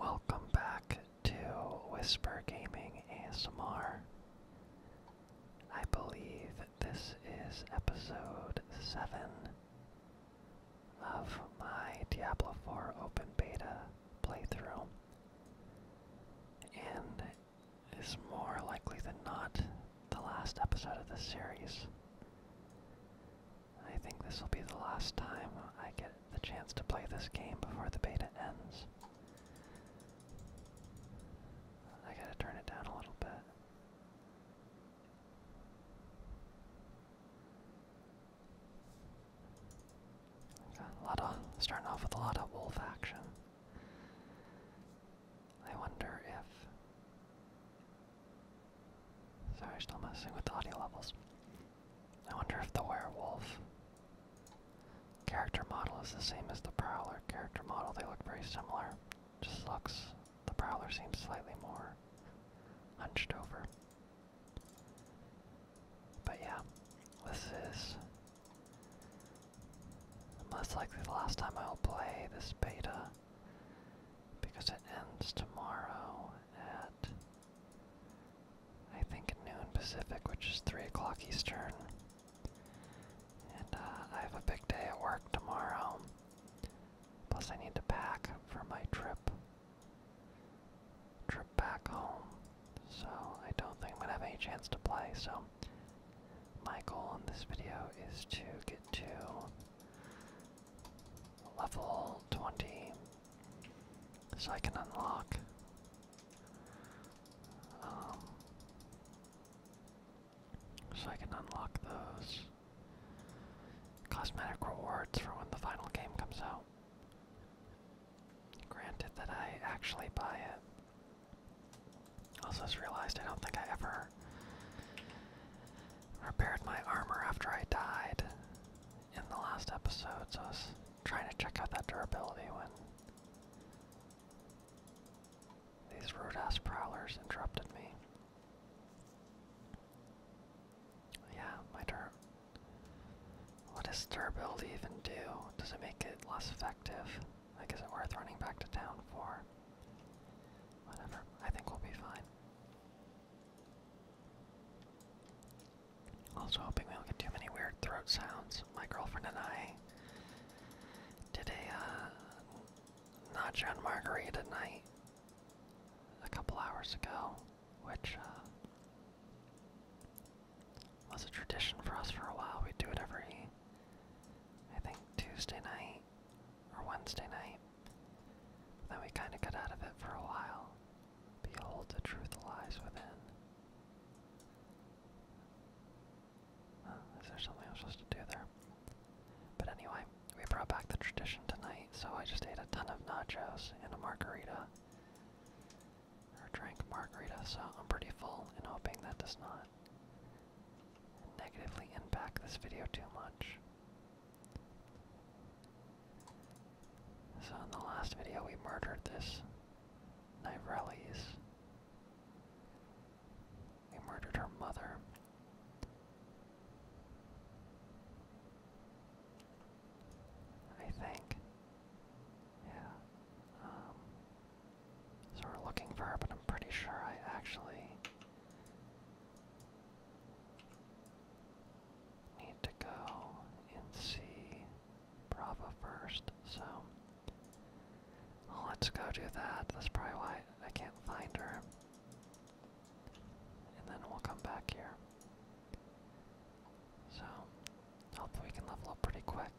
Welcome back to Whisper Gaming ASMR. I believe this is episode 7 of my Diablo 4 open beta playthrough. And is more likely than not the last episode of this series. I think this will be the last time I get the chance to play this game before the beta ends. I gotta turn it down a little bit. a lot of starting off with a lot of wolf action. I wonder if. Sorry, still messing with the audio levels. I wonder if the werewolf character model is the same as the Prowler character model. They look very similar. Just looks, the Prowler seems slightly more hunched over. But yeah, this is most likely the last time I'll play this beta because it ends tomorrow at I think noon Pacific, which is 3 o'clock Eastern. And uh, I have a big day at work tomorrow. Plus, I need to pack for my trip. Trip back home. So, I don't think I'm going to have any chance to play. So, my goal in this video is to get to level 20 so I can unlock. Um, so I can unlock those cosmetic rewards for when the final game comes out. Granted that I actually buy it. Also just realized I don't think I ever repaired my armor after I died in the last episodes, I was trying to check out that durability when these rude ass prowlers interrupted me. Yeah, my dur. What does durability even do? Does it make it less effective? Like, is it worth running back to town for? Whatever, I think we'll be fine. Also hoping we don't get too many weird throat sounds. My girlfriend and I did a uh, nacho and margarita night a couple hours ago, which uh, was a tradition for us for a while. We do it every, I think, Tuesday night or Wednesday night. Then we kind of got out of it for a while. Behold, the truth lies within. is there something I'm supposed to do there? But anyway, we brought back the tradition tonight, so I just ate a ton of nachos and a margarita. Or drank margarita, so I'm pretty full and hoping that does not negatively impact this video too much. So in the last video we murdered this Nivrellis. We murdered her mother. I think. Yeah. Um, so we're looking for her, but I'm pretty sure I actually need to go and see Bravo first, so let's go do that. That's probably why I can't find her. And then we'll come back here. So, hopefully we can level up pretty quick.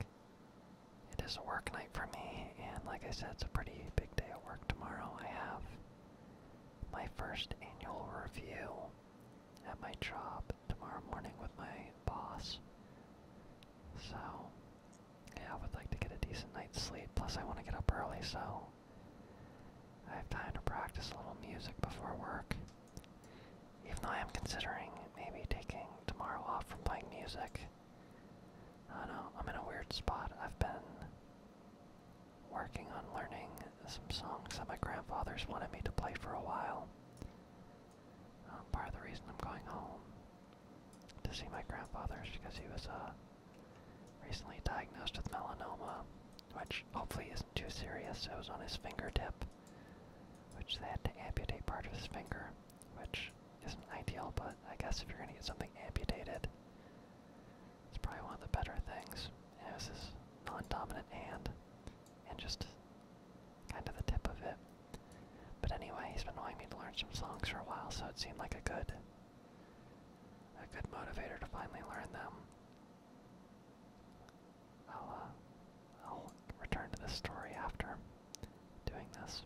It is a work night for me, and like I said, it's a pretty big day at work tomorrow. I have my first annual review at my job tomorrow morning with my boss. So, yeah, I would like to get a decent night's sleep. Plus, I want to get up early, so I have time to practice a little music before work. Even though I am considering maybe taking tomorrow off from playing music. I don't know, I'm in a weird spot. I've been working on learning some songs that my grandfather's wanted me to play for a while. Um, part of the reason I'm going home to see my grandfather is because he was uh, recently diagnosed with melanoma, which hopefully isn't too serious. It was on his fingertip, which they had to amputate part of his finger, which isn't ideal, but I guess if you're going to get something amputated, it's probably one of the better things. And it was non dominant hand and just kind of the tip of it. But anyway, he's been wanting me to learn some songs for a while, so it seemed like a good, a good motivator to finally learn them. I'll, uh, I'll return to this story after doing this.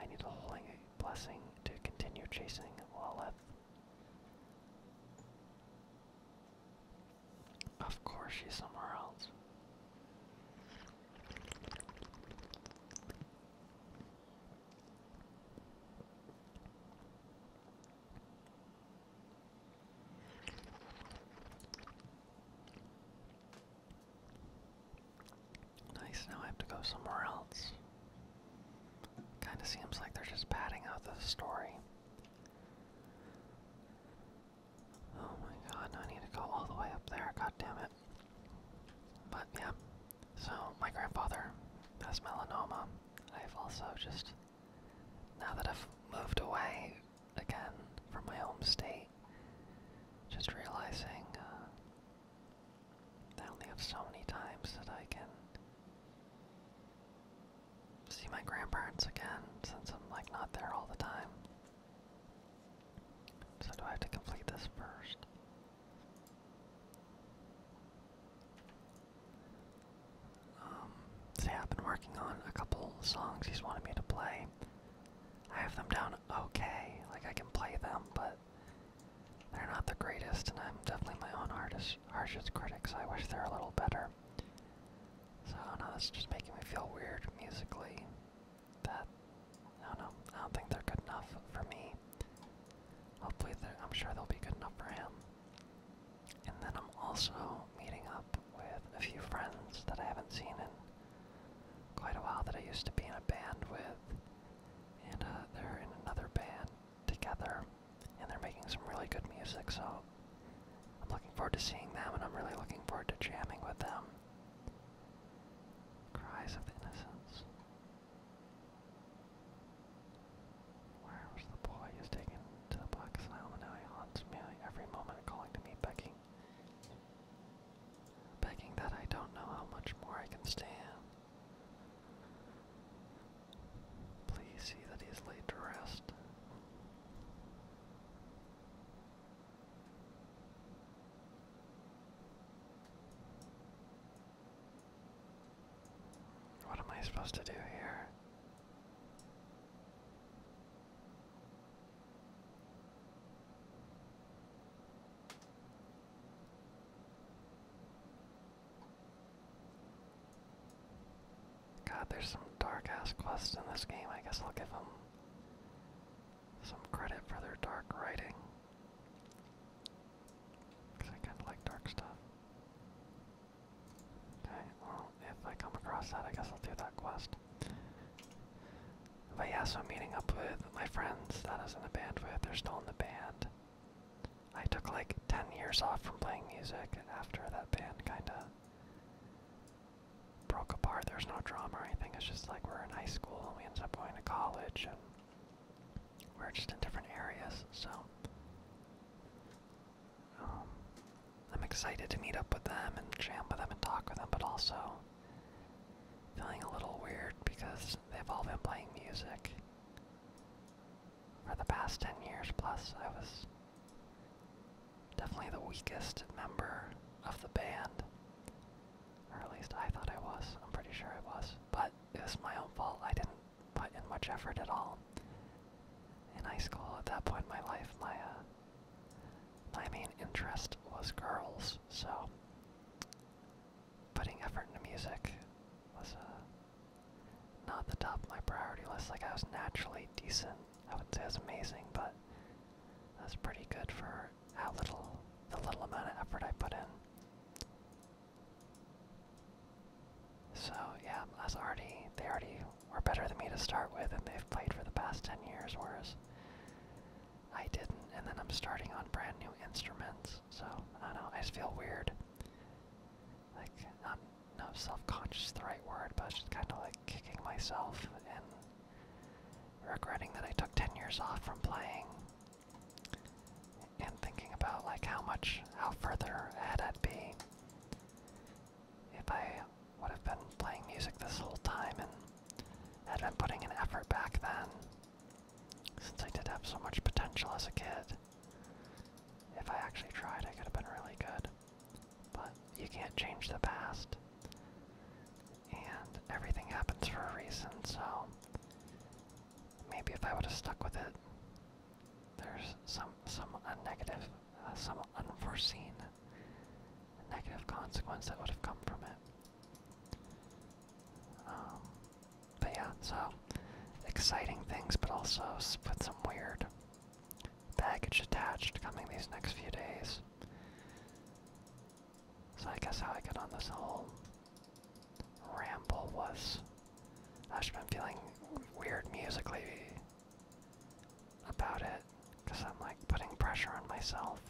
I need a holy blessing to continue chasing Lilith. Of course, she's somewhere else. Nice, now I have to go somewhere else. Kinda seems like they're just padding out the story. Oh my god, I need to go all the way up there, god damn it. But yeah, so my grandfather has melanoma. I've also just, now that I've moved away again from my home state, just realizing uh, I only have so many times that I can see my grandparents again since I'm like not there all the time. So do I have to complete this first? Um, I've been working on a couple songs he's wanted me to play. I have them down okay, like I can play them, but they're not the greatest, and I'm definitely my own artist, harshest critics. I wish they're a little better. So I don't know, this is just making me feel weird musically. That I don't know. I don't think they're good enough for me. Hopefully, I'm sure they'll be good enough for him. And then I'm also meeting up with a few friends that I haven't seen in quite a while that I used to be in a band with, and uh, they're in another band together and they're making some really good music, so I'm looking forward to seeing them, and I'm really looking forward to jamming with them. Cries of Innocence. Where the boy who's taken to the Black Isle, and now he haunts me every moment, calling to me, begging, begging that I don't know how much more I can stand. Please see that he is laid to rest. What am I supposed to do here? God, there's some dark ass quests in this game. I guess I'll give them some credit for their dark writing. Because I kind of like dark stuff. Okay, well, if I come across that, I guess I'll do that quest. But yeah, so I'm meeting up with my friends that isn't a in band with. They're still in the band. I took like 10 years off from playing music after that band kinda broke apart. There's no drama or anything, it's just like we're in high school and we end up going to college and we're just in different areas, so um, I'm excited to meet up with them and jam with them and talk with them, but also feeling a little weird because they've all been playing music for the past 10 years plus, I was definitely the weakest member of the band. Or at least I thought I was. I'm pretty sure I was. But it was my own fault. I didn't put in much effort at all. In high school, at that point in my life, my, uh, my main interest was girls, so putting effort into music was, uh, not the top of my priority list. Like I was naturally decent. I would not say I was amazing, but that's pretty good for how little the little amount of effort I put in. So yeah, that's already they already were better than me to start with, and they've played for the past ten years, whereas I didn't. And then I'm starting on brand new instruments, so I don't know. I just feel weird like not not self-conscious the right word, but just kind of like kicking myself and regretting that I took 10 years off from playing and thinking about like how much how further ahead I'd be if I would have been playing music this whole time and had been putting an effort back then since I did have so much potential as a kid. If I actually tried, I could have been really good. But you can't change the past. And everything happens for a reason, so maybe if I would have stuck with it, there's some some negative, uh, some unforeseen negative consequence that would have come from it. Um, but yeah, so exciting things, but also with some weird Package attached coming these next few days. So I guess how I got on this whole ramble was I've been feeling weird musically about it because I'm like putting pressure on myself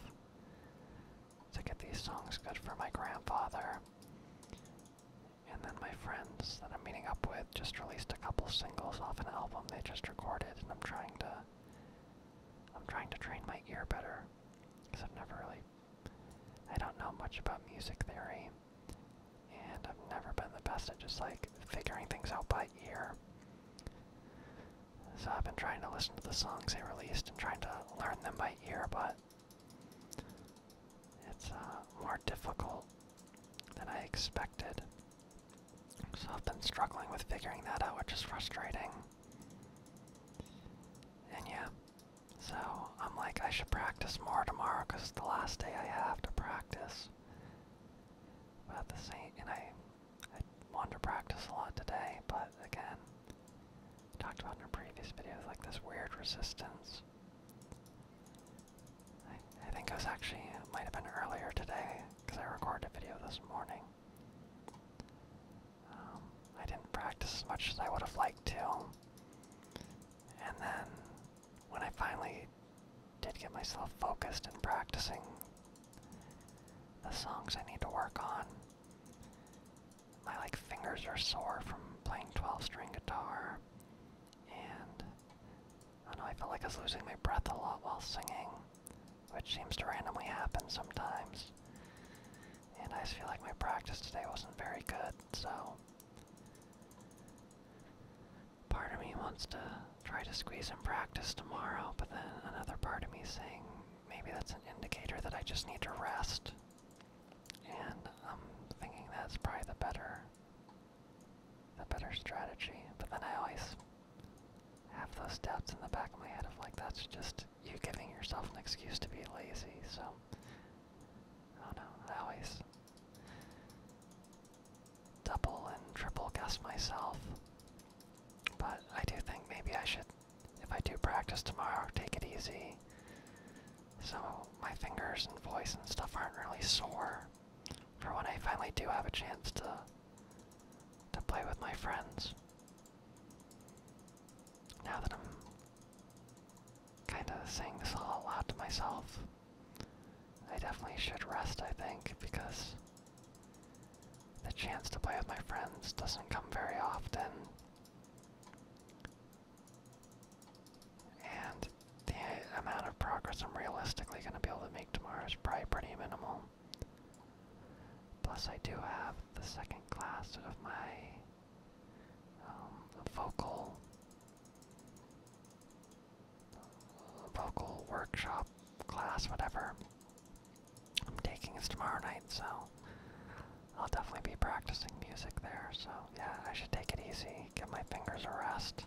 to get these songs good for my grandfather. And then my friends that I'm meeting up with just released a couple singles off an album they just recorded, and I'm trying to I'm trying to train my ear better because I've never really I don't know much about music theory, and I've never been the best at just like figuring things out by ear. So I've been trying to listen to the songs they released and trying to learn them by ear, but it's uh, more difficult than I expected. So I've been struggling with figuring that out, which is frustrating. And yeah, so I'm like, I should practice more tomorrow because it's the last day I have to practice. But at the same, and I, I want to practice a lot today, but again, talked about in a previous video, like this weird resistance. I, think it was actually, it might have been earlier today, because I recorded a video this morning. Um, I didn't practice as much as I would have liked to. And then, when I finally did get myself focused in practicing the songs I need to work on, my like fingers are sore from playing 12 string guitar and I know I felt like I was losing my breath a lot while singing, which seems to randomly happen sometimes. And I feel like my practice today wasn't very good, so. Part of me wants to try to squeeze in practice tomorrow, but then another part of me saying maybe that's an indicator that I just need to rest. And I'm thinking that's probably the better a better strategy. But then I always have those doubts in the back of my head of like, that's just you giving yourself an excuse to be lazy. So, I don't know, I always double and triple guess myself. But I do think maybe I should, if I do practice tomorrow, take it easy. So my fingers and voice and stuff aren't really sore for when I finally do have a chance to to play with my friends. Now that I'm kind of saying this all out loud to myself, I definitely should rest, I think, because the chance to play with my friends doesn't come very often. And the amount of progress I'm realistically going to be able to make tomorrow is probably pretty minimal. Plus, I do have the second class of my um, vocal vocal workshop class, whatever I'm taking is tomorrow night, so I'll definitely be practicing music there. So yeah, I should take it easy, give my fingers a rest.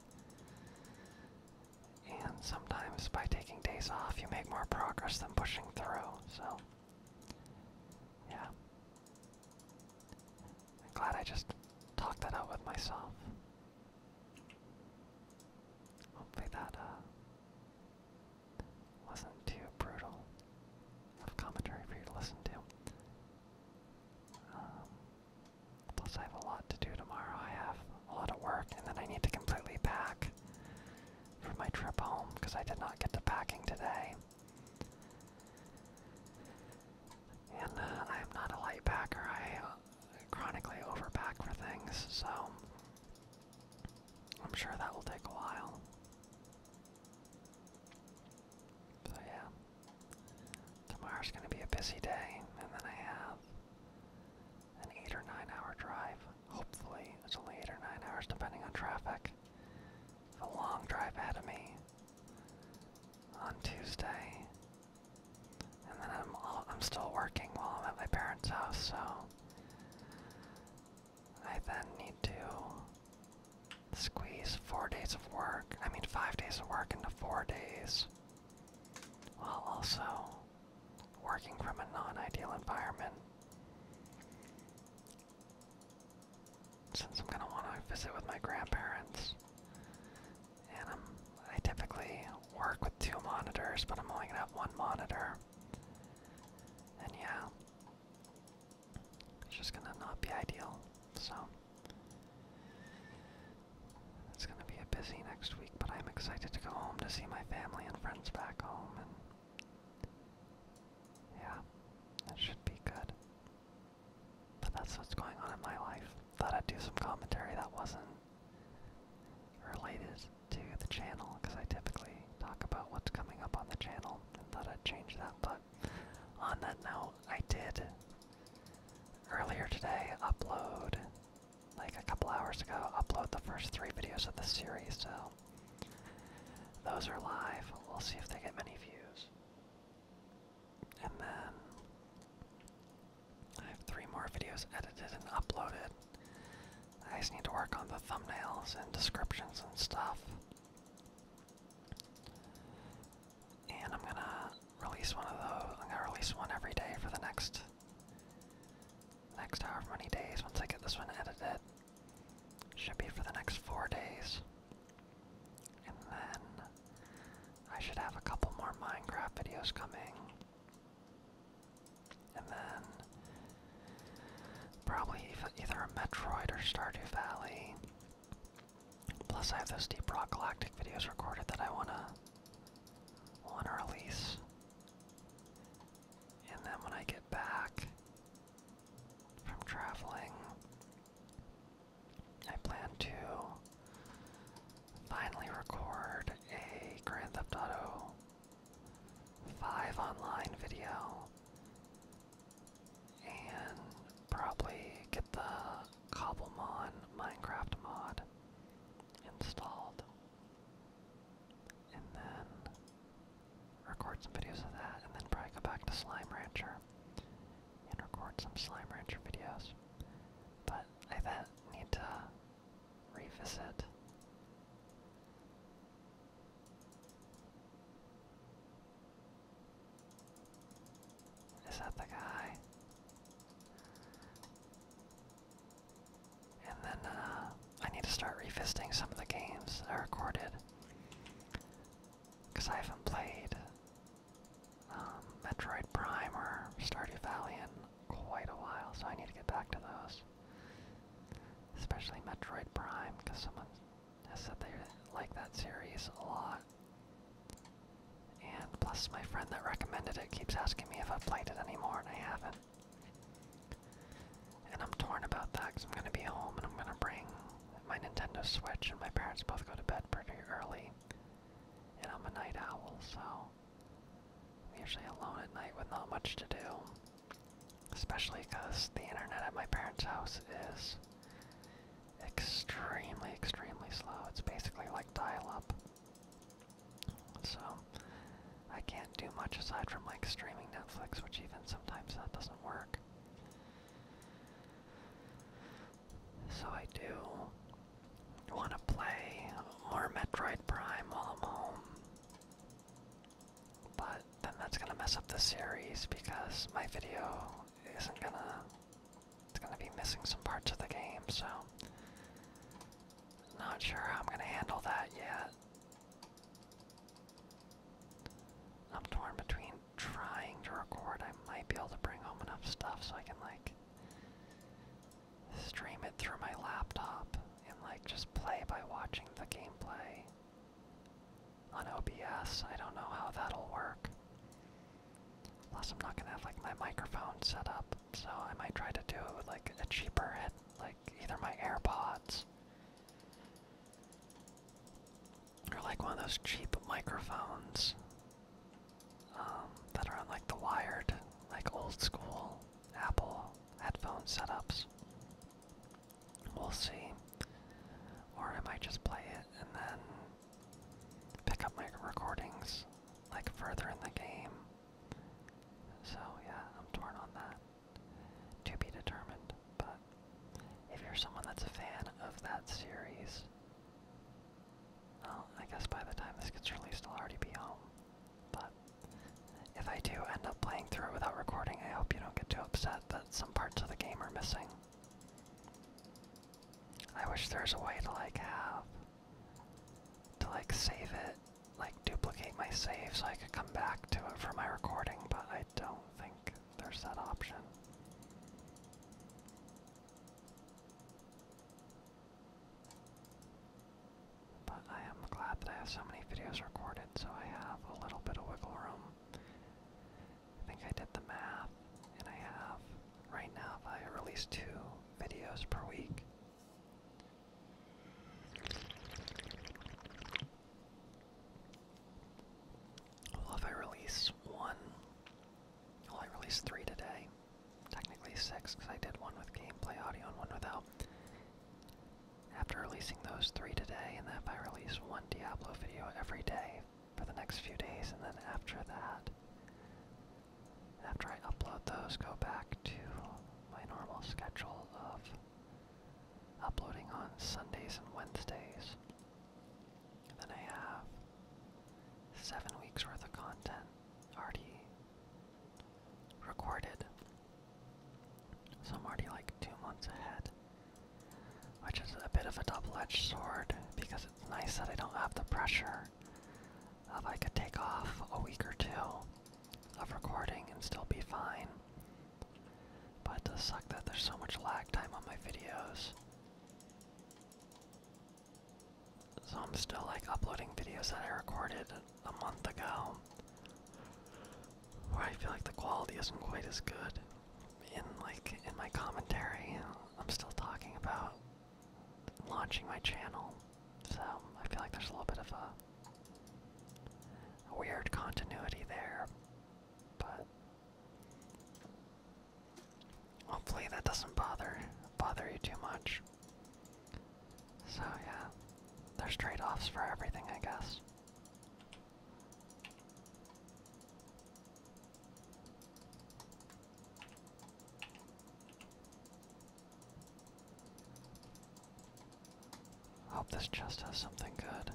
And sometimes by taking days off, you make more progress than pushing through, so. Yeah. I'm glad I just talked that out with myself. Hopefully that uh, wasn't too brutal commentary for you to listen to. Um, Plus, I have a lot to do tomorrow. I have a lot of work, and then I need to completely pack for my trip home because I did not get to packing today. And uh, I am not a light packer. I uh, chronically overpack for things, so I'm sure that will take a while. So yeah. Tomorrow's going to be a busy day, and then I have an 8 or 9 hour drive. Hopefully, it's only 8 or 9 hours depending on traffic. a long drive ahead of me on Tuesday. And then I'm, I'm still working while I'm at my parents' house, so I then need to squeeze four days of work, I mean five days of work into four days while also working from a non-ideal environment. Since I'm gonna want to visit with my grandparents, and i typically work with two monitors, but I'm only gonna have one monitor, and yeah, it's just gonna not be ideal. So. It's going to be a busy next week, but I'm excited to go home to see my family and friends back home, yeah, that should be good. But that's what's going on in my life. Thought I'd do some commentary that wasn't related to the channel, because I typically talk about what's coming up on the channel, and thought I'd change that, but on that note, I did earlier today, upload, like a couple hours ago, upload the first three videos of the series, so those are live. We'll see if they get many views. And then I have three more videos edited and uploaded. I just need to work on the thumbnails and descriptions and stuff and I'm gonna release one of those. I'm gonna release one every day for the next next however many days. Once I get this one edited, should be for the next four days, and then I should have a couple more Minecraft videos coming, and then probably either a Metroid or Stardew Valley. Plus I have those Deep Rock Galactic videos recorded that I wanna wanna release. And then when I get back from traveling, I plan to finally record a Grand Theft Auto 5 online video and probably get the Cobblemon Minecraft mod installed. And then record some videos of that, and then probably go back to Slime Rancher and record some Slime Rancher videos. But I then need to revisit is that the guy? And then uh, I need to start revisiting some of the games I recorded. Because I haven't played um, Metroid Prime or Stardew Valley in quite a while, so I need to get back to those. Especially Metroid Prime, because someone has said they like that series a lot. And plus, my friend that recommended it keeps asking me if I've played it anymore, and I haven't. And I'm torn about that because I'm going to be home and I'm going to bring my Nintendo Switch, and my parents both go to bed pretty early. And I'm a night owl, so I'm usually alone at night with not much to do. Especially because the internet at my parents' house is extremely, extremely slow. It's basically like dial-up. So, I can't do much aside from like streaming Netflix, which even sometimes that doesn't work. So I do want to play more Metroid Prime while I'm home. But then that's gonna mess up the series because my video isn't gonna it's gonna be missing some parts of the game, so not sure how I'm gonna handle that yet. I'm torn between trying to record. I might be able to bring home enough stuff so I can like stream it through my laptop and like just play by watching the gameplay on OBS. I don't know how that'll work. Plus, I'm not gonna have like my microphone set up, so I might try to do it with like a cheaper head, like either my AirPods or like one of those cheap microphones um, that are on like the wired, like old school Apple headphone setups. We'll see. Or I might just play it and then pick up my recordings like further in the game. So yeah, I'm torn on that. To be determined, but if you're someone that's a fan of that series, I guess by the time this gets released, I'll already be home. But if I do end up playing through it without recording, I hope you don't get too upset that some parts of the game are missing. I wish there's a way to like have to like save it, like duplicate my save so I could come back to it for my recording, but I don't think there's that option. But I am glad that I have so many videos recorded, so I have a little bit of wiggle room. I think I did the math, and I have right now if I release two videos per week. Well, if I release one, well, I released three today. Technically six, because I did one with gameplay audio and one without. After releasing those three today, and that if I release one Diablo video every day for the next few days, and then after that, after I upload those, go back to my normal schedule of uploading on Sundays and Wednesdays. then I have seven weeks worth of content already recorded. So I'm already like two months ahead. Which is a bit of a double edged sword because it's nice that I don't have the pressure of I could take off a week or two of recording and still be fine. But it sucks that there's so much lag time on my videos. So I'm still like uploading videos that I recorded a month ago. Where I feel like the quality isn't quite as good. In like in my commentary, I'm still talking about launching my channel, so I feel like there's a little bit of a, weird continuity there, but hopefully that doesn't bother bother you too much. So yeah, there's trade-offs for everything, I guess. Hope this just has something good.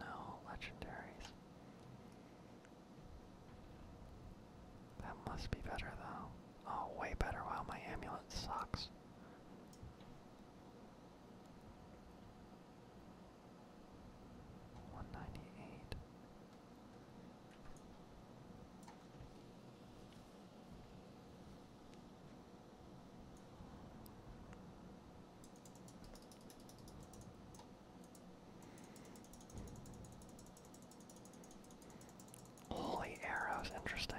No legendaries. That must be better though. Oh, way better. Wow, my amulet sucks. One ninety eight. Holy arrows, interesting.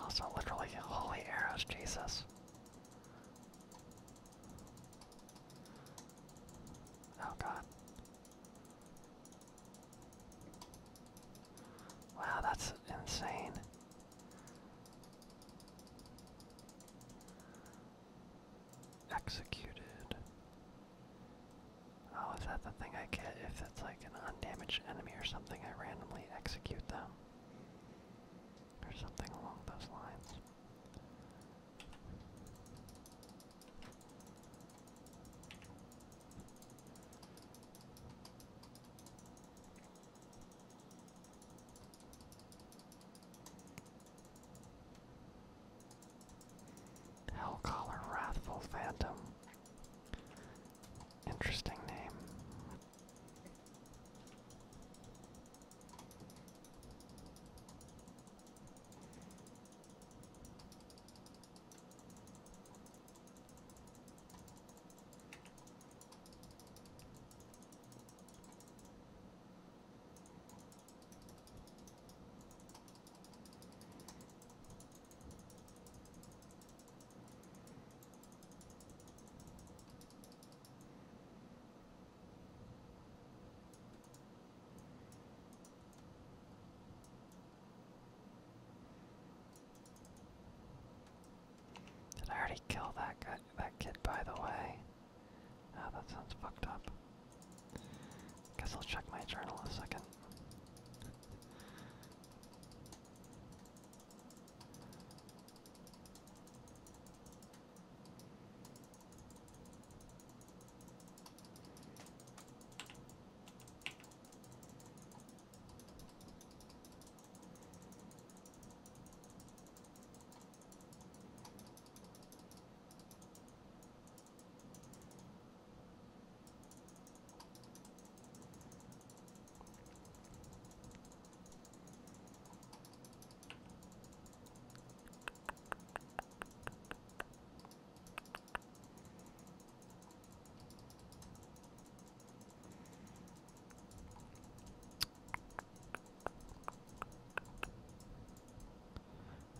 Also, literally, holy arrows, Jesus. Oh god. Wow, that's insane. Executed. Oh, is that the thing I get if it's like an undamaged enemy or something? I randomly execute them. Or something along those lines. Hellcaller Wrathful Phantom. Interesting name. Did I already kill that guy, that kid? By the way, oh, that sounds fucked up. Guess I'll check my journal a second.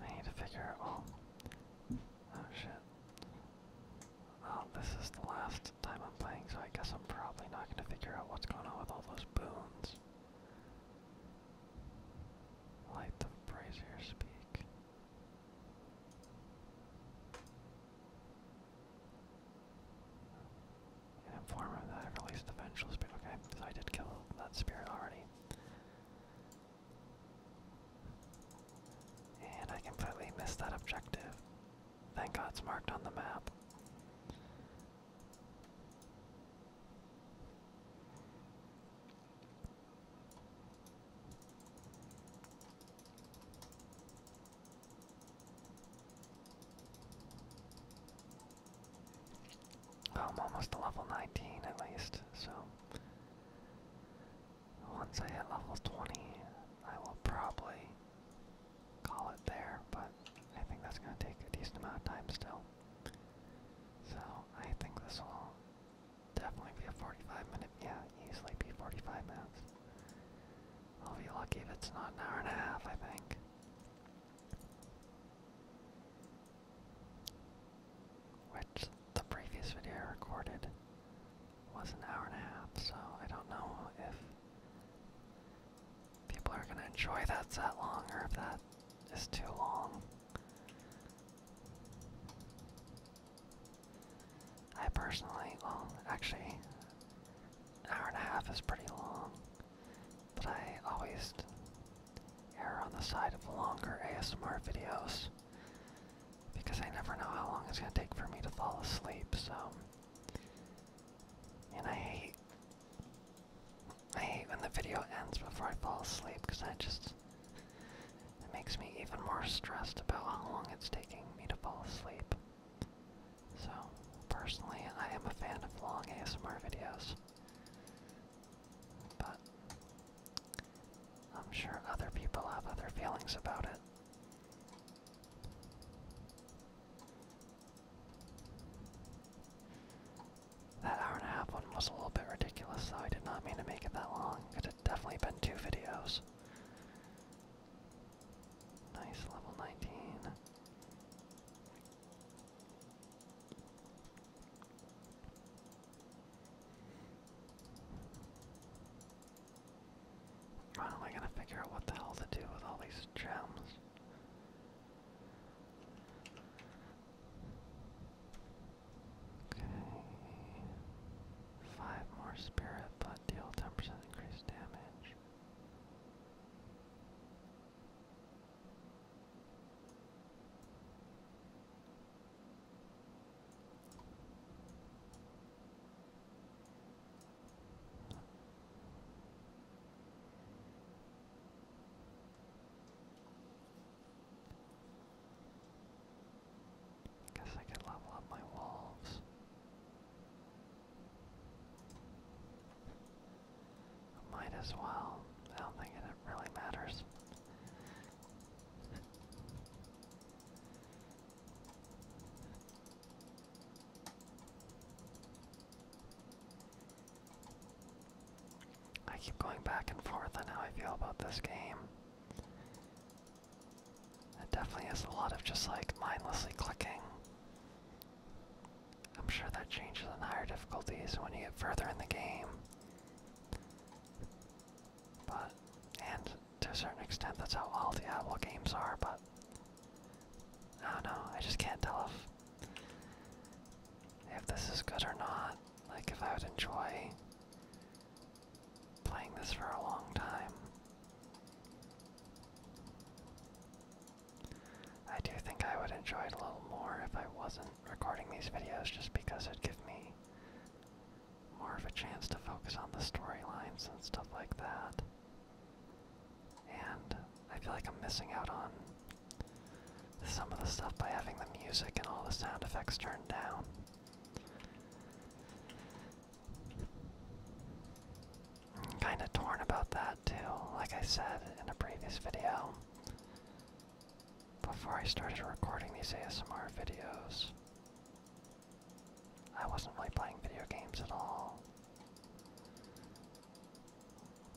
I need to figure out. Oh shit. Well, this is the last time I'm playing, so I guess I'm probably not going to figure out what's going on with all those boons. Light the brazier speak. An informer that I released the ventral spirit. Okay, so I did kill that spirit already. And I completely missed that objective. Thank God it's marked on the map. Oh, I'm almost level 19 at least, so once I hit level 20, I will probably call it there, but I think that's going to take a decent amount of time still. So I think this will definitely be a 45 minute, yeah, easily be 45 minutes. I'll be lucky if it's not an hour and a half, I think. Which the previous video I recorded was an hour and a half, so I don't know if people are gonna enjoy that that long or if that is too long. I personally, well, actually, an hour and a half is pretty long, but I always err on the side of longer ASMR videos because I never know how long it's going to take for me to fall asleep, so. And I hate. I hate when the video ends before I fall asleep because I just. It makes me even more stressed about how long it's taking me to fall asleep. So, personally, I am a fan of long ASMR videos. But I'm sure other people have other feelings about it. That hour and a half one was a little bit ridiculous, though. I did not mean to make it that long. It had definitely been two videos. Nice level 19. How am I gonna figure out what the hell to do with all these gems? Okay. Five more spirit, but deal 10% increased damage. Guess I could level up my wolves. might as well. I don't think it really matters. I keep going back and forth on how I feel about this game. It definitely is a lot of just like mindlessly clicking. I'm sure that changes in higher difficulties when you get further in the game. But, and to a certain extent, that's how all the Diablo games are, but I don't know, I just can't tell if, if this is good or not. Like, if I would enjoy playing this for a long time. I do think I would enjoy it a little more if I wasn't recording these videos just because it'd give me more of a chance to focus on the storylines and stuff like that. And I feel like I'm missing out on some of the stuff by having the music and all the sound effects turned down. kinda torn about that too, like I said in a previous video before I started recording these ASMR videos, I wasn't really playing video games at all.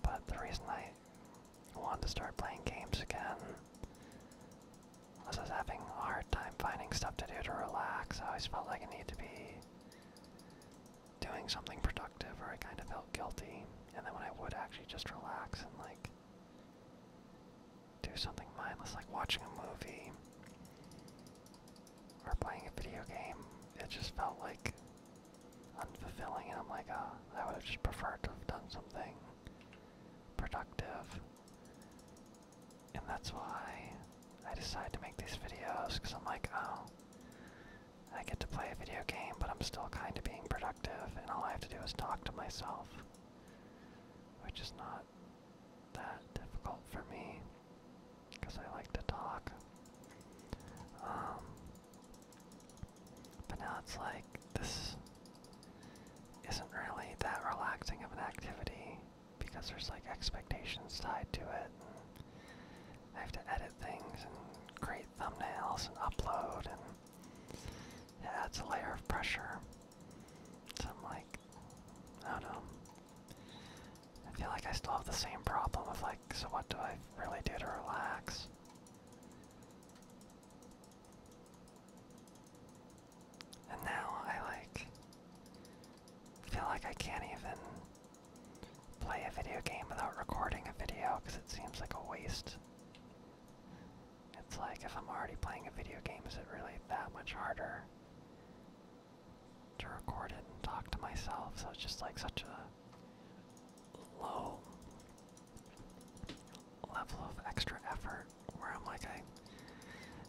But the reason I wanted to start playing games again was I was having a hard time finding stuff to do to relax. I always felt like I needed to be doing something productive or I kind of felt guilty. And then when I would actually just relax and like do something mindless like watching a movie or playing a video game. It just felt like unfulfilling and I'm like, oh, I would have just preferred to have done something productive. And that's why I decided to make these videos because I'm like, oh, I get to play a video game, but I'm still kind of being productive, and all I have to do is talk to myself which is not that difficult for me because I like to talk. Um, but now it's like this isn't really that relaxing of an activity because there's like expectations tied to it. And I have to edit things and create thumbnails and upload and it adds a layer of pressure. So I'm like, I don't know. I feel like I still have the same problem of like, so what do I really do to relax? And now I like feel like I can't even play a video game without recording a video because it seems like a waste it's like if I'm already playing a video game, is it really that much harder to record it and talk to myself? So it's just like such a low level of extra effort where I'm like, I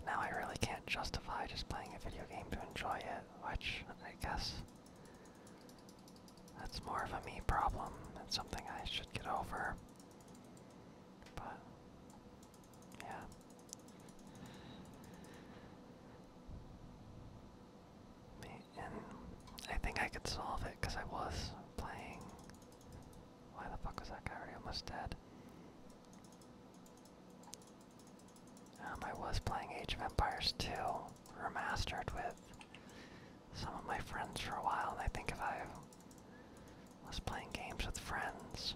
now I really can't justify just playing a video game to enjoy it, which I guess that's more of a me problem. It's something I should get over. But yeah. And I think I could solve it because I was playing. Why the fuck was that guy almost dead? Um, I was playing Age of Empires 2 Remastered with some of my friends for a while, and I think if I was playing games with friends,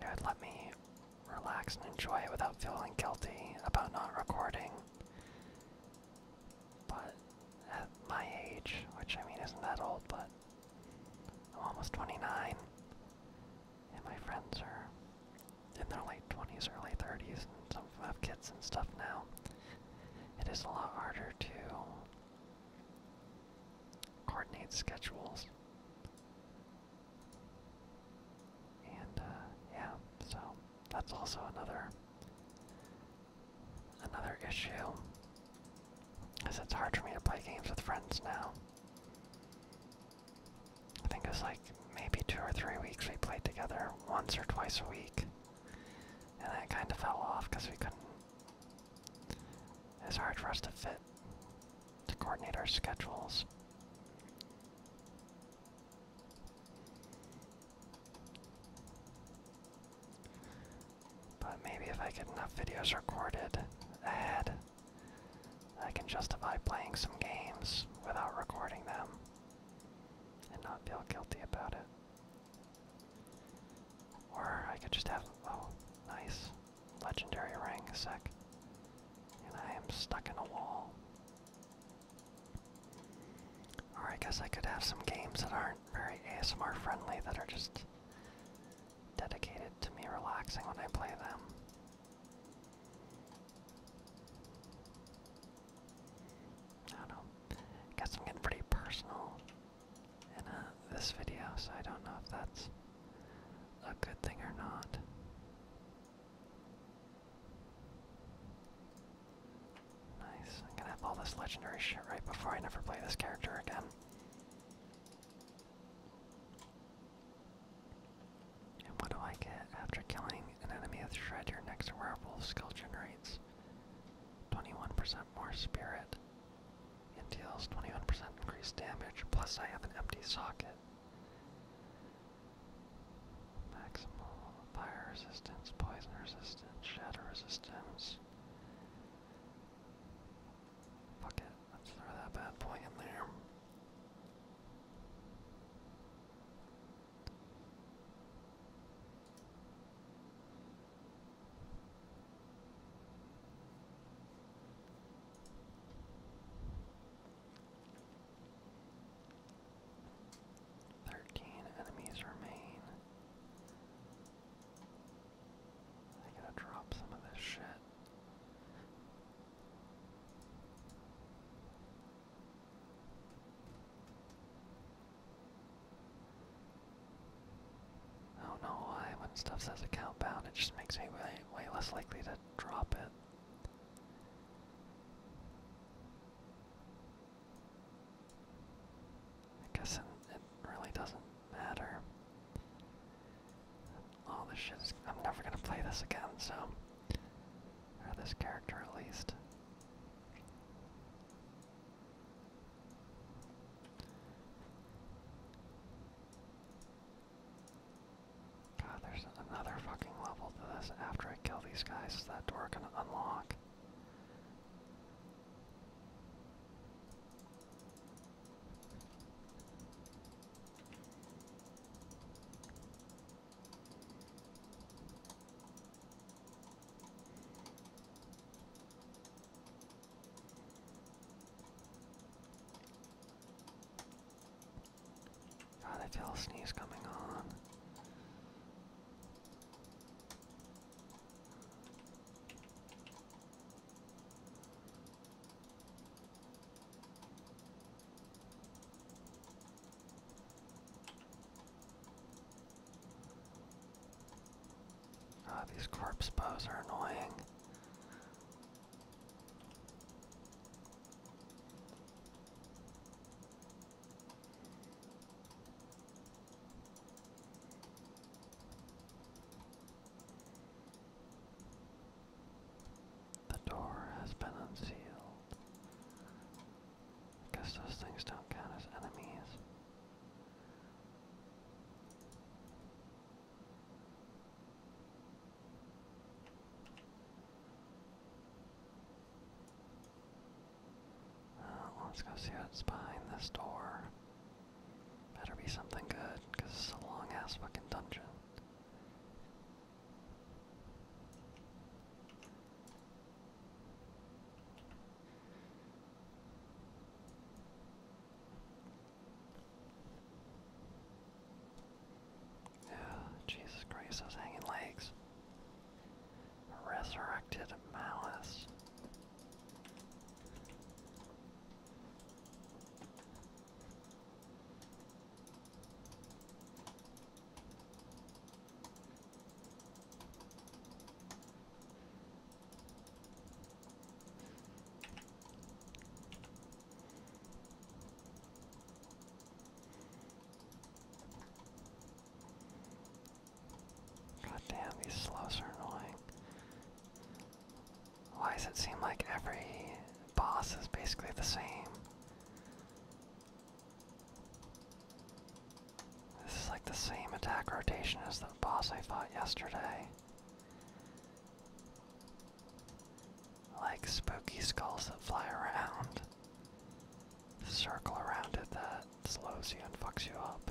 it would let me relax and enjoy it without feeling guilty about not recording. But at my age, which I mean isn't that old, but I'm almost 29, and my friends are in their late 20s, early 30s, and some of them have kids and stuff now. It is a lot harder to coordinate schedules. And uh, yeah, so that's also another another issue. because it's hard for me to play games with friends now. I think it was like maybe two or three weeks we played together once or twice a week. And that kind of fell off because we couldn't. It's hard for us to fit, to coordinate our schedules. But maybe if I get enough videos recorded ahead, I can justify playing some games without recording them and not feel guilty about it. Or I could just have, oh, nice, legendary ring, sec. And I am stuck in a wall. Or I guess I could have some games that aren't very ASMR friendly that are just dedicated to me relaxing when I play them. I don't know. Guess I'm getting pretty personal in uh, this video, so I don't know if that's a good thing or not. Nice. I'm gonna have all this legendary shit right before I never play this character again. And what do I get after killing an enemy with Shred? Your next werewolf skill generates 21% more spirit. It deals 21% increased damage, plus I have an empty socket. Maximal fire resistance, poison resistance, shadow resistance. Fuck it, let's throw that bad boy in there. Thirteen enemies remain. I gotta drop some of this shit. Oh no! I when stuff says account bound it just makes me way, way less likely to drop it. I guess it, it really doesn't matter. All this shit is, I'm never gonna play this again, so. Or this character at least. God, there's another fucking level to this after I kill these guys. that door gonna unlock? Ah, oh, that tail sneeze coming on. Ah, these corpse bows are annoying. The door has been unsealed. guess those things don't count as enemies. Uh, let's go see what's behind this door. Better be something good, it's a long ass fucking dungeon. Jesus Christ, those hanging legs. Resurrected malice. God damn, these slows are annoying. Why does it seem like every boss is basically the same? This is like the same attack rotation as the boss I fought yesterday. Like spooky skulls that fly around. Circle around it that slows you and fucks you up.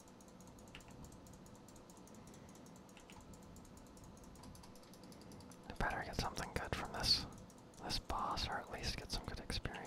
I better get something good from this this boss, or at least get some good experience.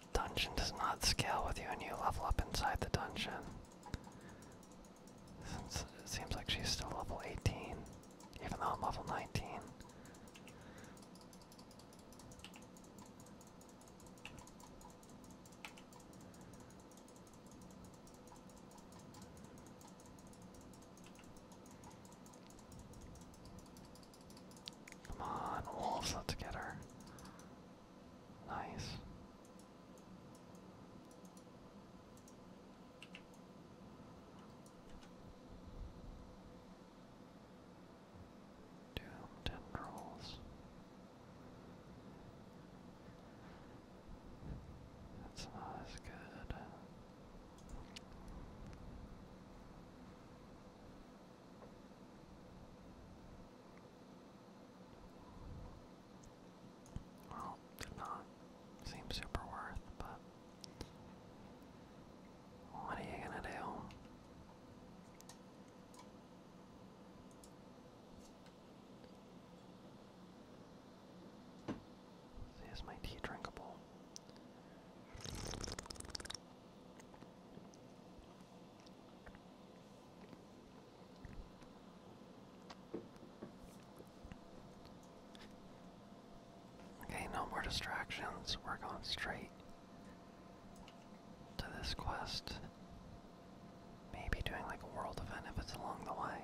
Dungeon does not scale with you and you level up inside the dungeon. Since it seems like she's still level 18, even though I'm level 19. Come on, wolves, let's get her. Nice. Doomed and rolls. That's good. Well, did not seem super worth, but what are you gonna do? is my tea drinkable? Okay, no more distractions. We're going straight to this quest. Maybe doing like a world event if it's along the way.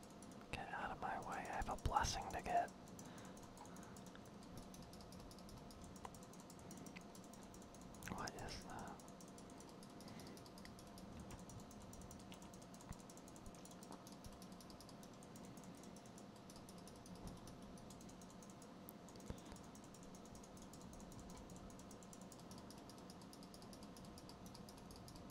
Get out of my way. I have a blessing to get. What is that?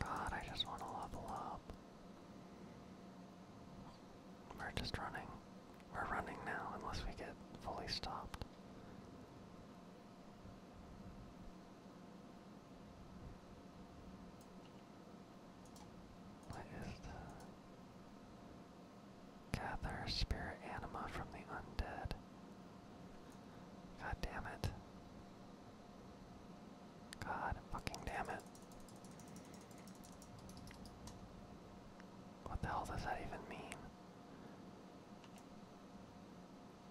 God, I just want to level up. We're just running. We're running now, unless we get fully stopped. What is the Gather spirit anima from the undead. God damn it. God fucking damn it. What the hell does that even mean?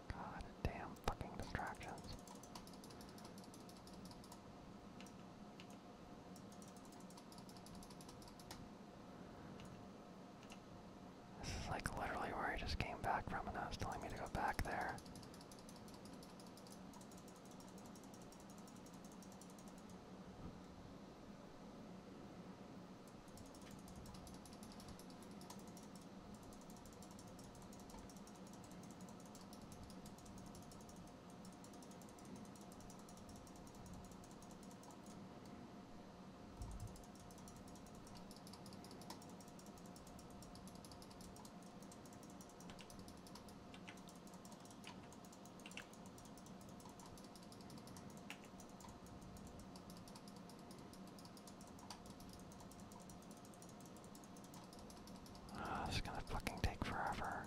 God damn fucking distractions. This is like literally where I just came back from and I was telling me to go back there. Ah, this is gonna fucking take forever.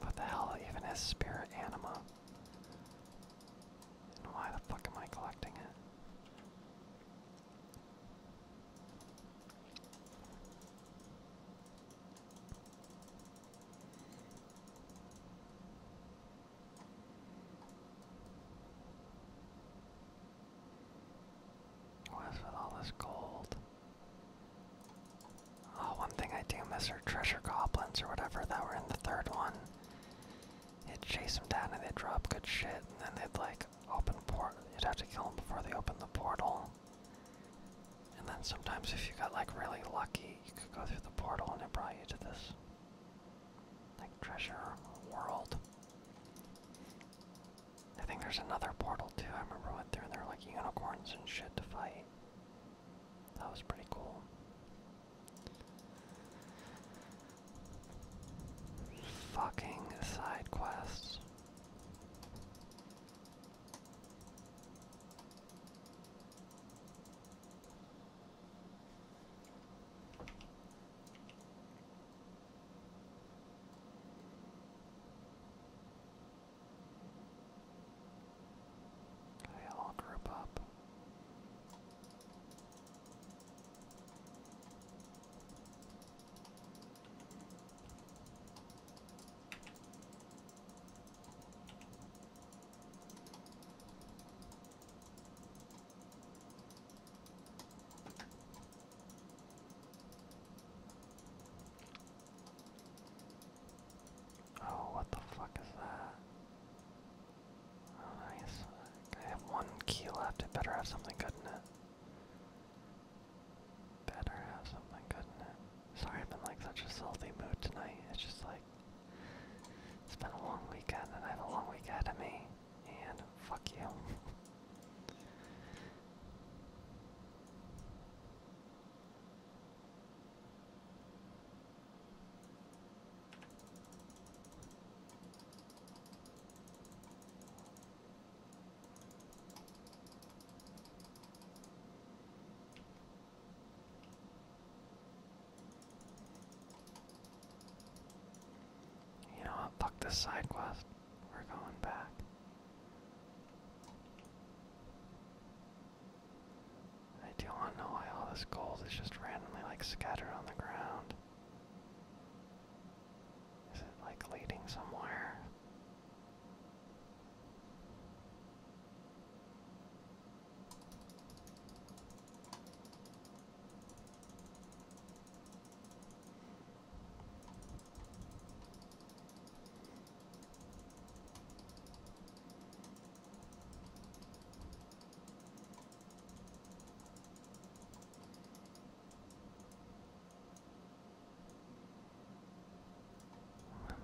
What the hell even is spirit anima? And why the fuck am I collecting it? What is with all this gold? Oh, one thing I do miss are treasure goblins or whatever that were in the third one. You'd chase them down and they'd drop good shit, and then they'd like open port. You'd have to kill them before they open the portal. And then sometimes if you got like really lucky, you could go through the portal and it brought you to this like treasure world. I think there's another portal too. I remember I went there and there were like unicorns and shit to fight. That was pretty cool. Fucking side quests. They all group up. Oh, what the fuck is that? Oh, nice. I have one key left. It better have something good in it. Better have something, couldn't it? Sorry, I've been like such a salty mood tonight. It's just like it's been a long weekend, and I have a long weekend ahead of me. And fuck you. You know Fuck this side quest. We're going back. I do want know why all this gold is just randomly like scattered on the ground. Is it like leading somewhere?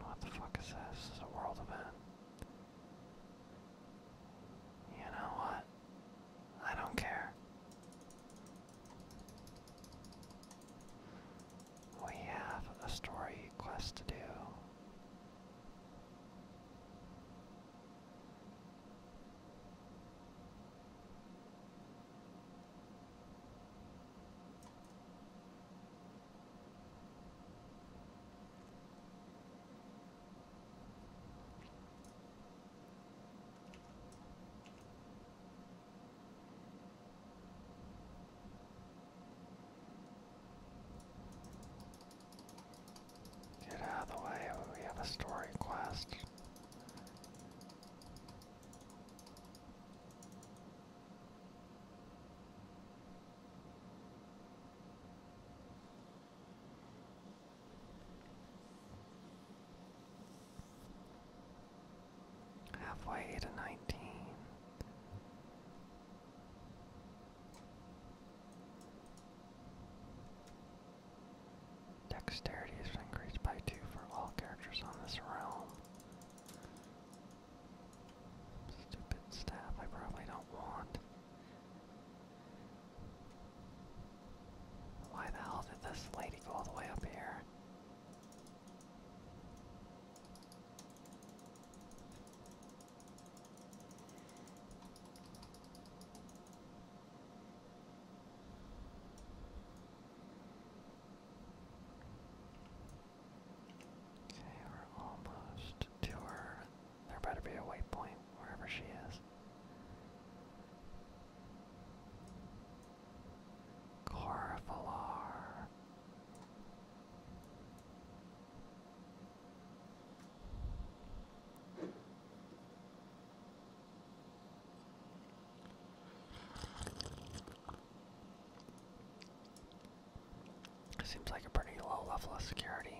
what the fuck is this? This is a world event. You know what? I don't care. We have a story quest to do. Get out of the way, we have a story quest halfway to 19. Dexterity is increased by 2 for all characters on this realm. Stupid staff I probably don't want. Why the hell did this lady go all the way up here? Okay, we're almost to her. There better be a waypoint wherever she is. Corvalar. Seems like a pretty low level of security.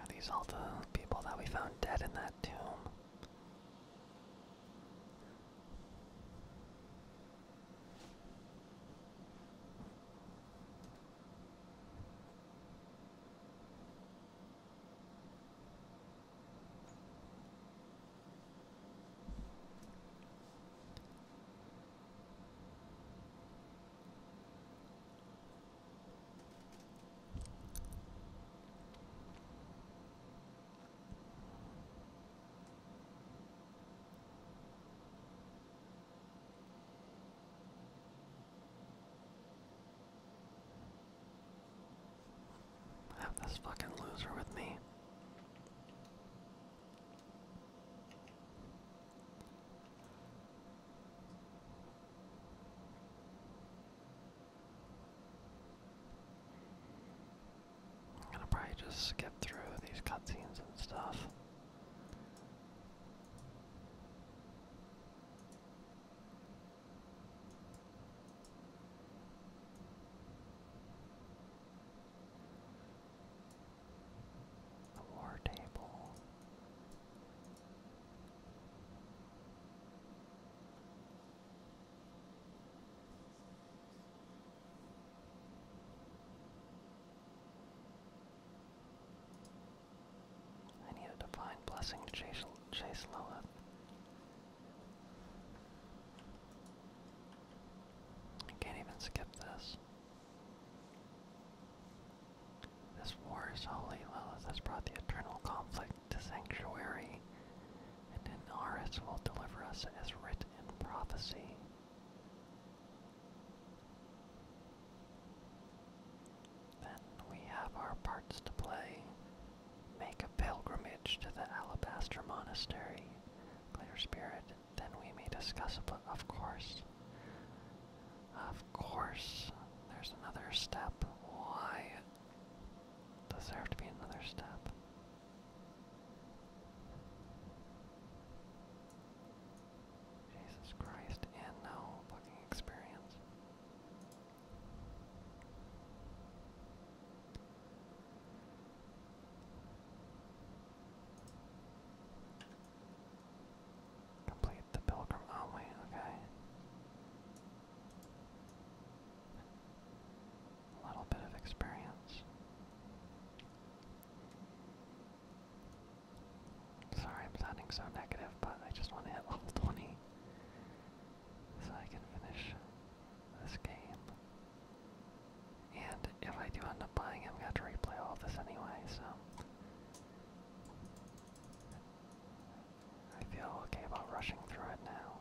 Are these all the people that we found dead in that tomb? I Have this fucking loser with me. I'm gonna probably just skip through these cutscenes and stuff. The war table. I need a divine blessing to chase, chase Lilith. I can't even skip this. This war is holy. Lilith has brought the eternal conflict to sanctuary, and in Aris will deliver us as writ in prophecy. Then we have our parts to play. Make a pilgrimage to the Alabaster Monastery. Clear spirit then we may discuss of course. Of course. There's another step. Why does there have to be another step? Jesus Christ, and no fucking experience. Complete the pilgrim oh, okay. A little bit of experience. Sorry I'm sounding so negative, but I just want to hit level 20 so I can finish this game. And if I do end up buying him, I have to replay all this anyway, so I feel okay about rushing through it now.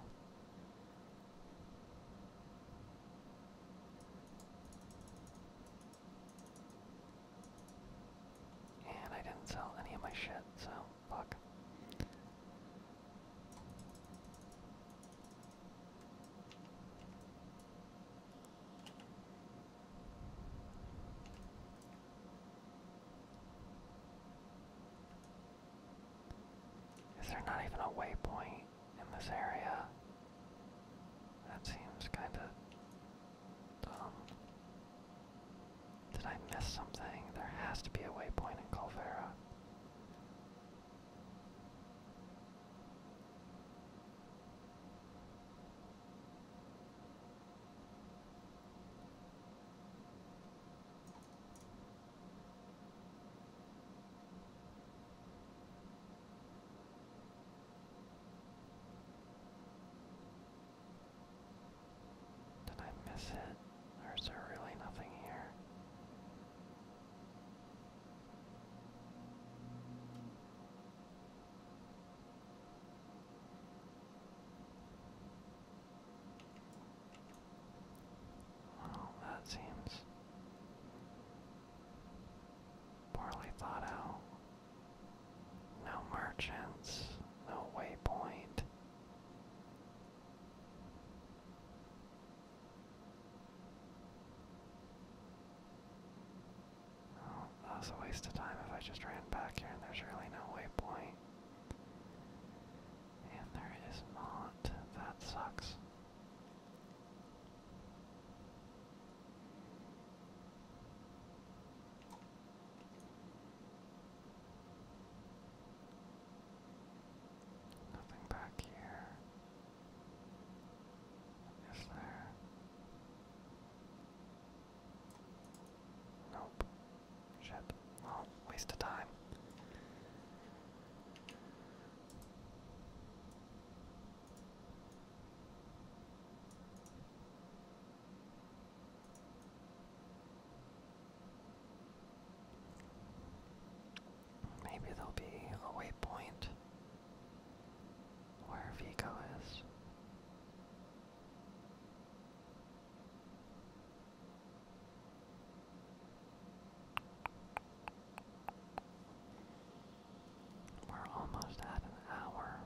And I didn't sell any of my shit, so fuck. Is there not even a waypoint in this area? That seems kinda dumb. Did I miss something? There has to be a waypoint in Calvera. Did I miss it? Or is there really nothing here? Well, that seems poorly thought out. No merchants, no waypoint. Well, oh, that a waste of time if I just ran back here and there's really no waypoint. And there is not. That sucks. Nothing back here. Is there? Nope. Shit. Well, waste of time. Maybe there'll be a waypoint where Vigo is. We're almost at an hour,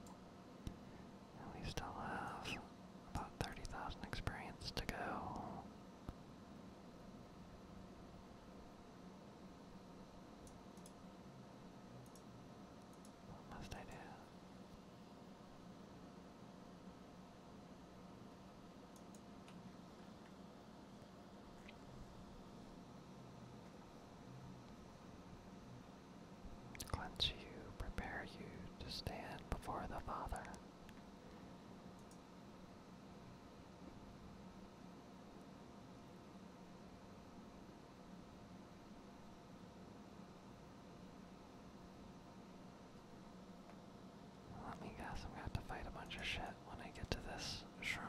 and we still have about 30,000 experience to go. What must I do? Cleanse you, prepare you to stand before the Father. Let me guess, I'm gonna have to fight a bunch of shit when I get to this shrine.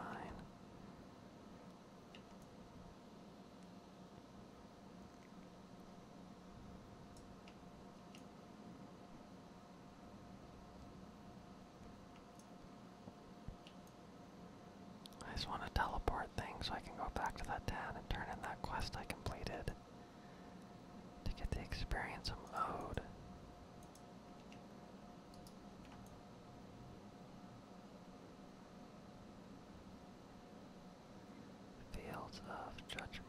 I just want to teleport things so I can go back to that town and turn in that quest I completed to get the experience i owed. Fields of Judgment.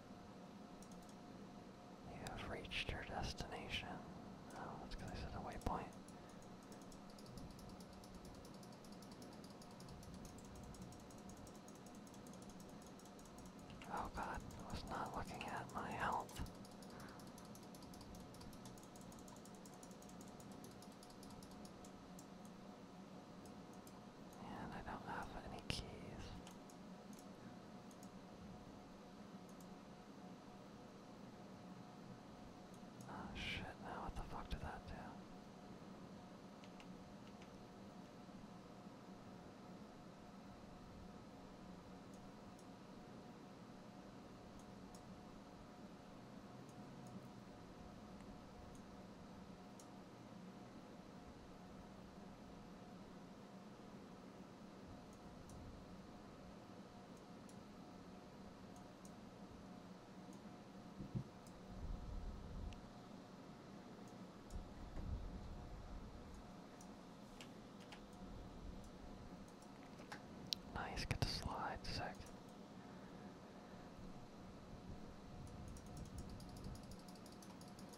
You have reached your destination. Oh, that's because I said a waypoint. Oh god, I was not looking at my help, And I don't have any keys. Oh shit, now ah, what the fuck did that do? Nice, get the slide sec.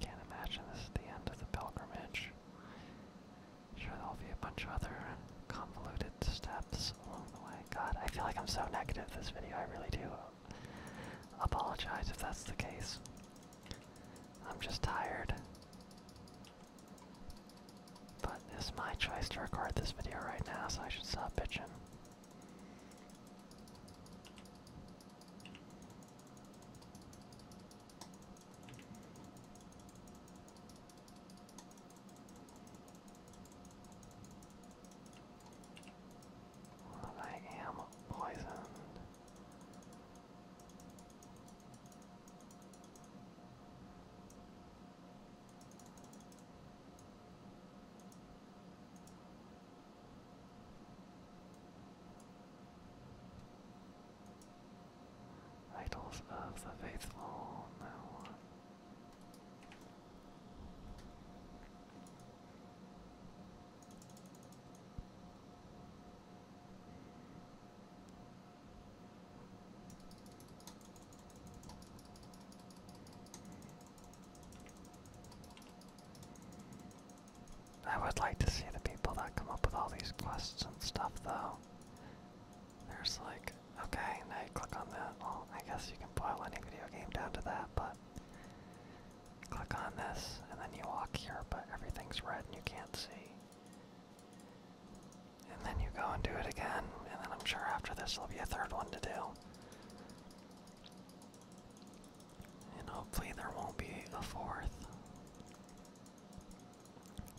Can't imagine this is the end of the pilgrimage. Sure, there'll be a bunch of other convoluted steps along the way. God, I feel like I'm so negative this video, I really do apologize if that's the case. I'm just tired. But it's my choice to record this video right now, so I should stop bitching. I am poisoned. Idols of the faithful, no. I would like to see the people that come up with all these quests and stuff, though. There's like, okay, now you click on that. Well, I guess you can boil any video game down to that, but Click on this, and then you walk here, but everything's red and you can't see. And then you go and do it again, and then I'm sure after this there'll be a third one to do. And hopefully there won't be a fourth.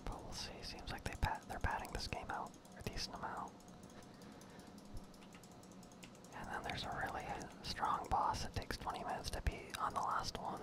But we'll see. Seems like they are batting this game out, or decent amount. And then there's a really strong boss that takes 20 minutes to beat on the last one.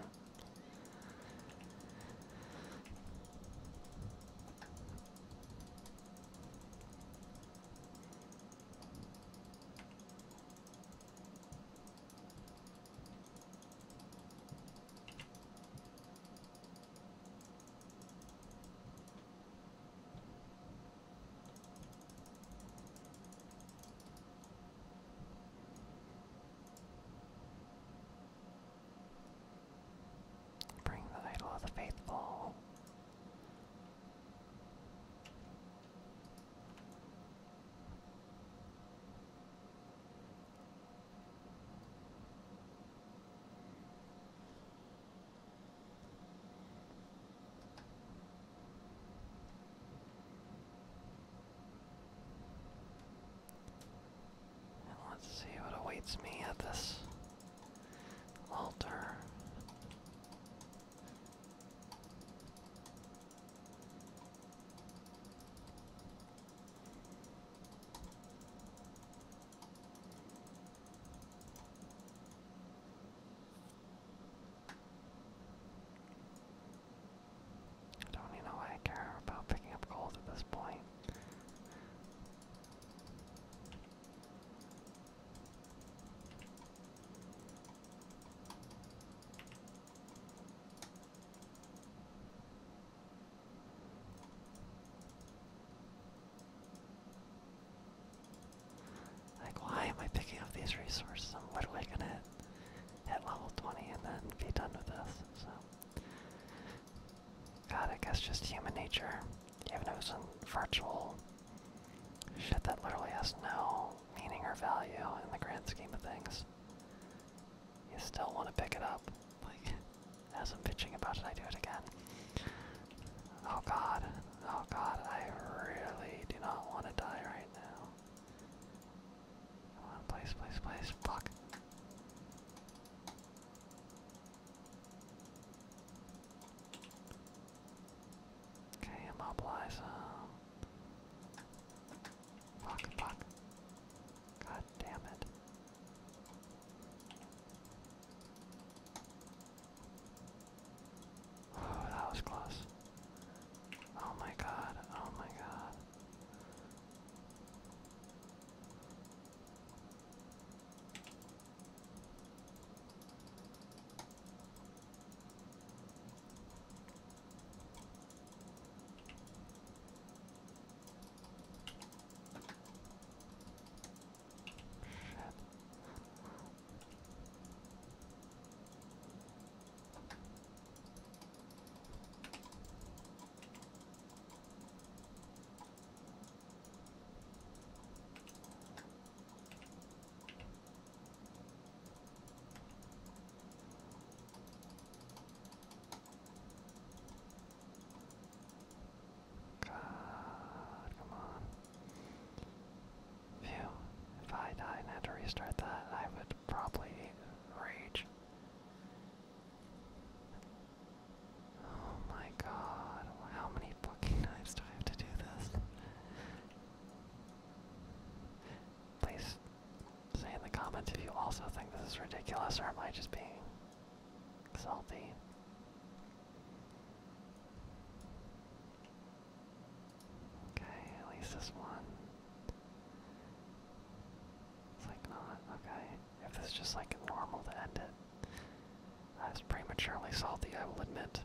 Bring the idol of the faithful let's see what awaits me at this altar. I don't even know why I care about picking up gold at this point. Like, why am I picking up these resources? I'm literally gonna hit level 20 and then be done with this, so. God, I guess just human nature. Even though it's some virtual shit that literally has no meaning or value in the grand scheme of things, you still want to pick it up. Like, as I'm bitching about it, I do it again. Oh god. Oh god, I really do not want to die right now. Come on, please, Fuck. Okay, i Fuck, fuck. God damn it. Oh, that was close. Oh my god, oh my god. Shit. God, come on. Phew, if I die and have to restart that, I would probably rage. Oh my god, how many fucking knives do I have to do this? Please say in the comments if you also think this is ridiculous or am I just being salty? Okay, at least this one. It's like not, okay. If it's just like normal to end it. that's prematurely salty, I will admit.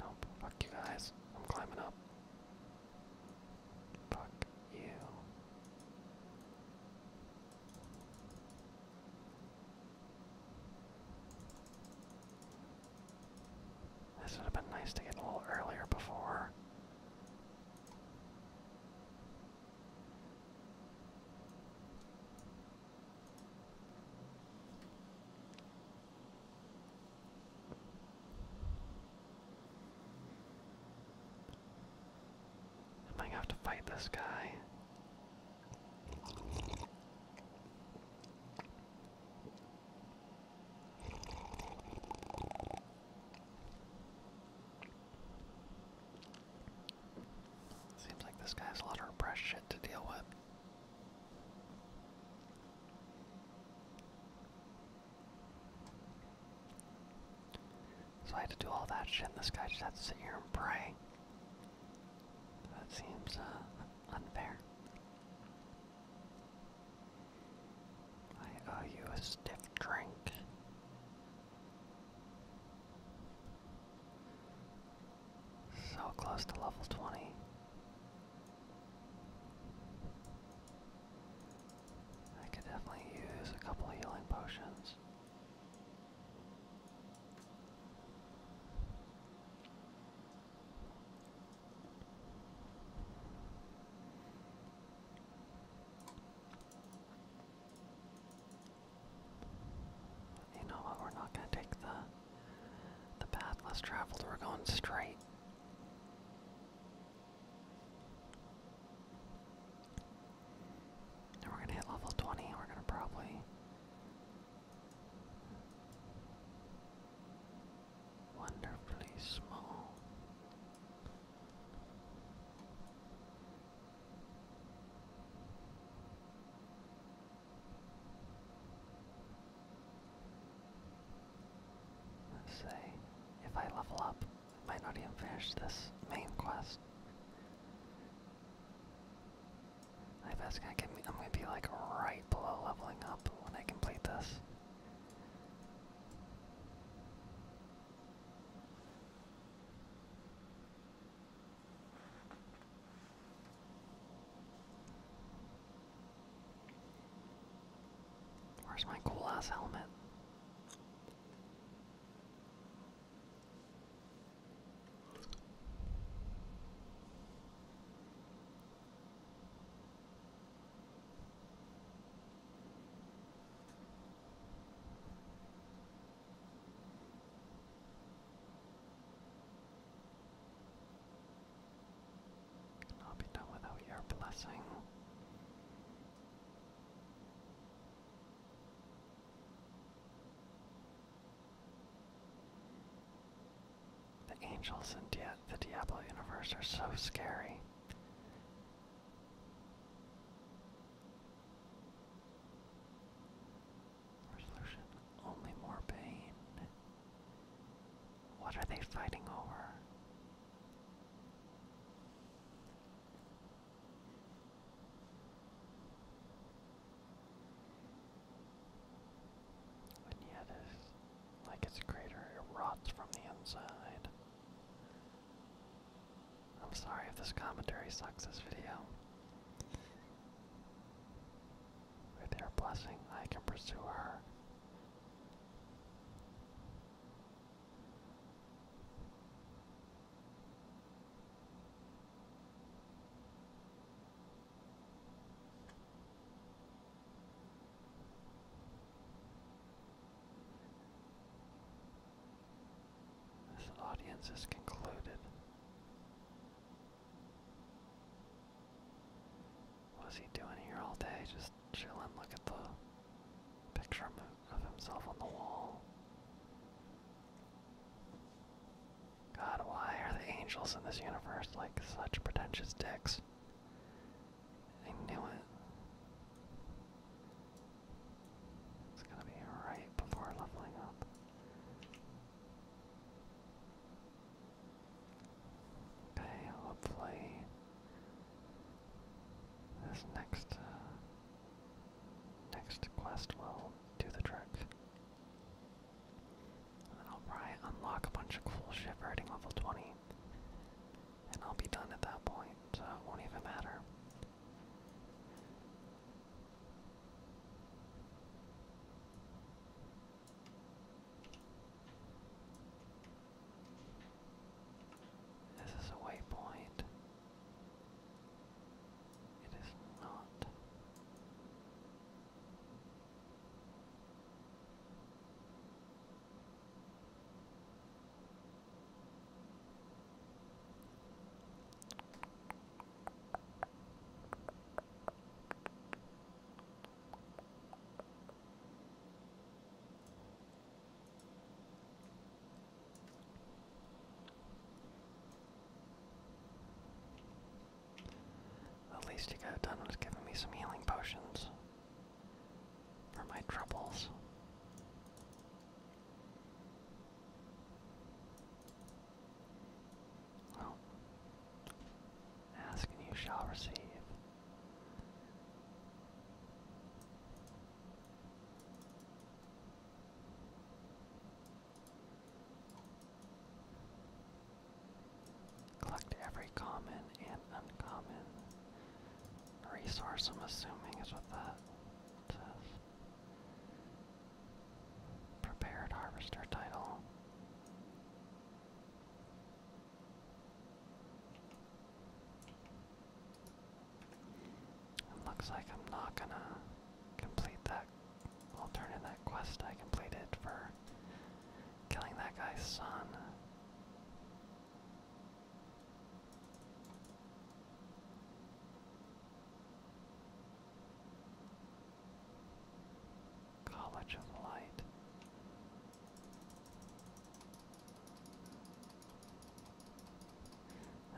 Nope, fuck you guys. I'm climbing up. Fuck you. This would have been nice to get a little earlier before. I might have to fight this guy. Seems like this guy has a lot of repressed shit to deal with. So I had to do all that shit, and this guy just had to sit here and pray. That seems uh, unfair. I owe you a stiff drink. So close to level 20. I could definitely use a couple healing potions. You know what? We're not gonna take the the path less traveled. We're going straight. we're gonna hit level 20. We're gonna probably wonderfully small. say if I level up, I might not even finish this main quest. I bet it's gonna get me. I'm gonna be like right below leveling up when I complete this. Where's my cool ass helmet? Cannot be done without your blessing. The angels in Di the Diablo universe are so scary. Resolution only more pain. What are they fighting over? And yet, it's like its crater, rots from the inside. I'm sorry if this commentary sucks this video. With your blessing, I can pursue her. This audience has concluded. What's he doing here all day? Just chilling. Look at the picture of himself on the wall. God, why are the angels in this universe like such pretentious dicks? I knew it. It's gonna be right before leveling up. Okay, hopefully this next uh, next quest will do the trick then I'll probably unlock a bunch of cool shit for hitting level 20. And I'll be done at that point, so it won't even matter. This is a waypoint. It is not. At least you got done with giving me some healing potions for my troubles. Well, ask and you shall receive. Collect every common and uncommon resource, I'm assuming, is with the Prepared harvester title. It looks like I'm not gonna complete that I'll turn in that quest I completed for killing that guy's son. College of Light.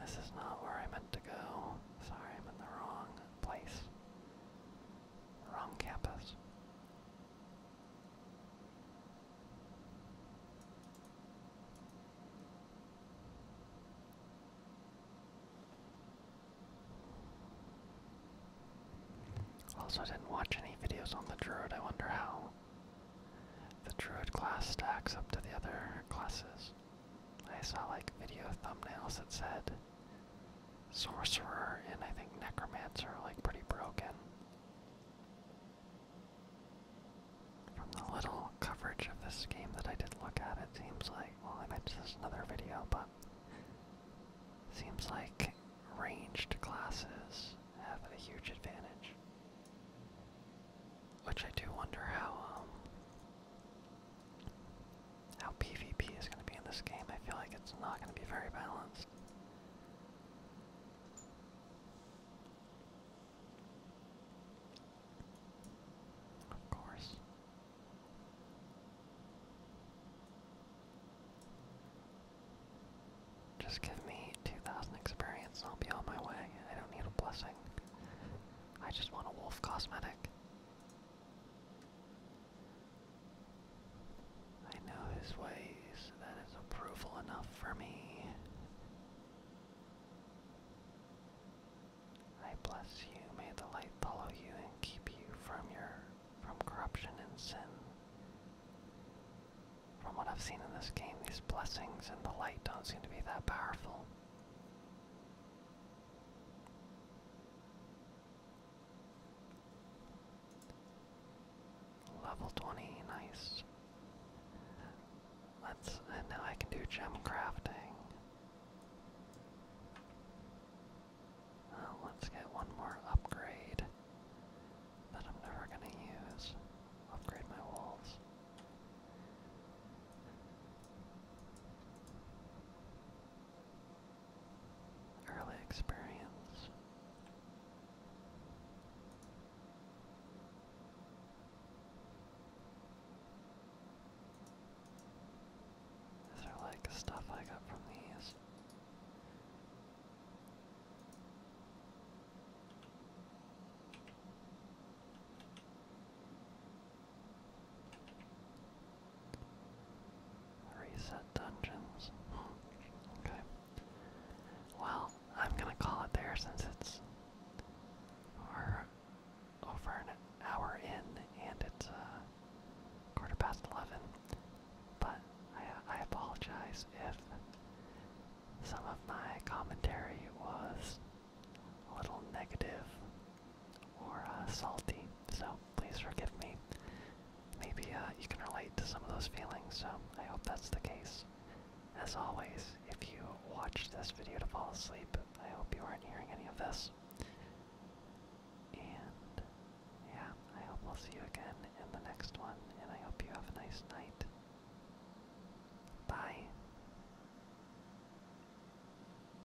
This is not where I meant to go. Sorry, I'm in the wrong place. Wrong campus. Also, didn't watch any videos on the Druid. I wonder how the Druid class stacks up to the other classes. I saw like video thumbnails that said sorcerer and I think necromancer like pretty broken. From the little coverage of this game that I did look at, it seems like, well, I mentioned this another video, but seems like ranged classes have a huge advantage. Which I do wonder how um, how PvP is going to be in this game. I feel like it's not going to be very balanced. Of course. Just give me 2,000 experience and I'll be on my way. I don't need a blessing. I just want a wolf cosmetic. I know his ways, that is approval enough for me. I bless you, may the light follow you and keep you from your from corruption and sin. From what I've seen in this game, these blessings and the light don't seem to be that powerful. Level 20, nice. Let's, now I can do gem crafting. Uh, let's get one more upgrade that I'm never gonna use. Upgrade my walls early experience. These are like stuff I got from these. Reset dungeons. okay. Well, I'm gonna call it there since it's over an hour in and it's uh, quarter past eleven. But I, apologize if some of my commentary was a little negative or uh, salty so please forgive me. Maybe uh, you can relate to some of those feelings, so I hope that's the case. As always, if you watch this video to fall asleep, I hope you aren't hearing any of this. And yeah, I hope we will see you again in the next one, and I hope you have a nice night. Bye.